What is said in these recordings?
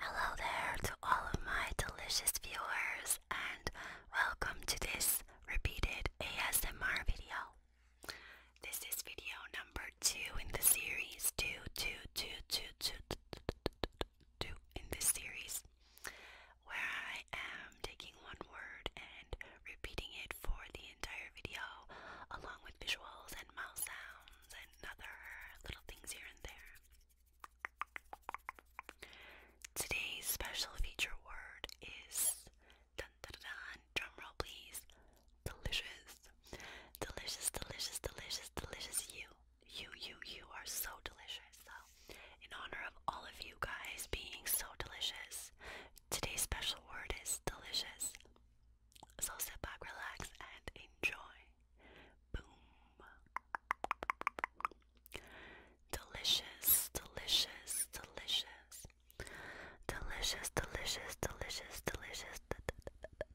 Hello there to all of my delicious viewers, and welcome to this repeated ASMR video. This is video number two in the series. Two, two, two, two, two, two, two, two in this series, where I am taking one word and repeating it for the entire video, along with visuals and mouth sounds and other little things here and there. Today's special feature word is dun dun dun, drum roll please, delicious. Delicious, delicious, delicious, delicious you. You, you, you are so delicious. So, in honor of all of you guys being so delicious, today's special word is delicious. So sit back, relax, and enjoy. Boom. Delicious, delicious, delicious. Delicious, delicious, delicious, delicious,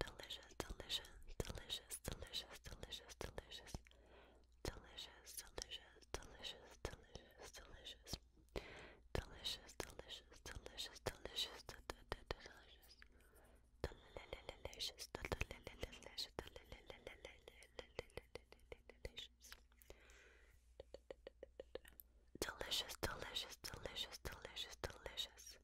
Delicious, delicious, delicious, delicious, delicious, delicious, delicious, delicious, delicious, delicious, delicious, delicious, delicious, delicious, delicious, delicious. Delicious, delicious, delicious, delicious, delicious, delicious, delicious, delicious.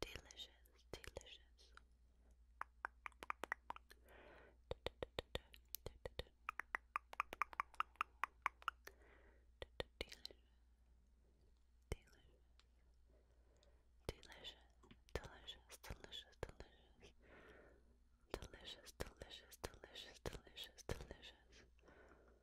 delicious, delicious. Delicious, delicious, delicious, delicious, delicious, delicious, delicious, delicious, delicious, delicious, delicious,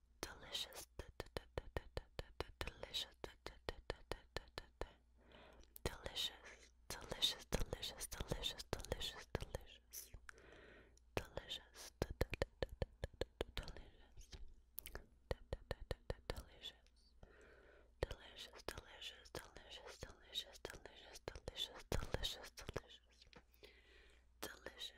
delicious, delicious, delicious, delicious, delicious, delicious, delicious, delicious, delicious, delicious, delicious. Delicious, delicious, delicious, delicious, delicious, delicious, delicious, delicious, delicious, delicious,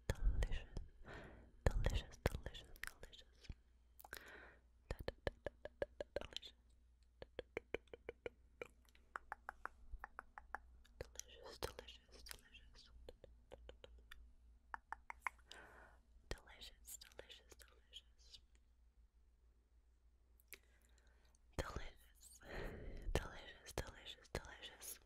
delicious, delicious, delicious, delicious. Da, da, da, da, da, da, da, delicious. Delicious, delicious, delicious. Delicious, delicious, delicious. Delicious, delicious, delicious, delicious.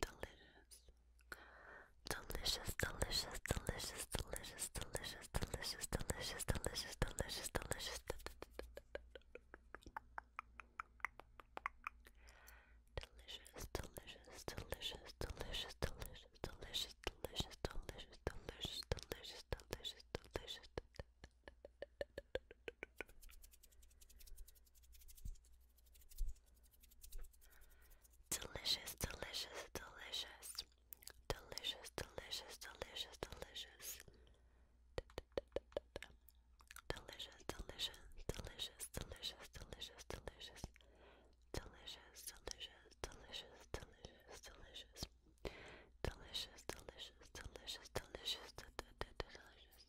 Delicious. Delicious, delicious, delicious, delicious, delicious, delicious, delicious, delicious, delicious, delicious. Delicious, delicious, delicious, delicious, delicious, delicious, delicious, delicious, delicious, delicious, delicious, delicious. Delicious, delicious, delicious. Delicious, delicious, delicious, delicious. Delicious, delicious, delicious, delicious, delicious, delicious. Delicious, delicious, delicious, delicious, delicious. Delicious, delicious, delicious, delicious, delicious.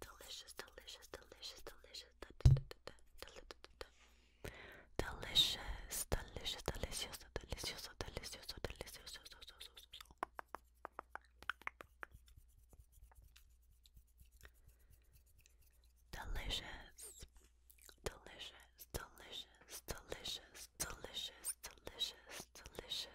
Delicious, delicious, delicious, delicious, delicious, delicious, delicious, delicious, delicious, delicious. Delicious, delicious, delicious, delicious, delicious, delicious, delicious,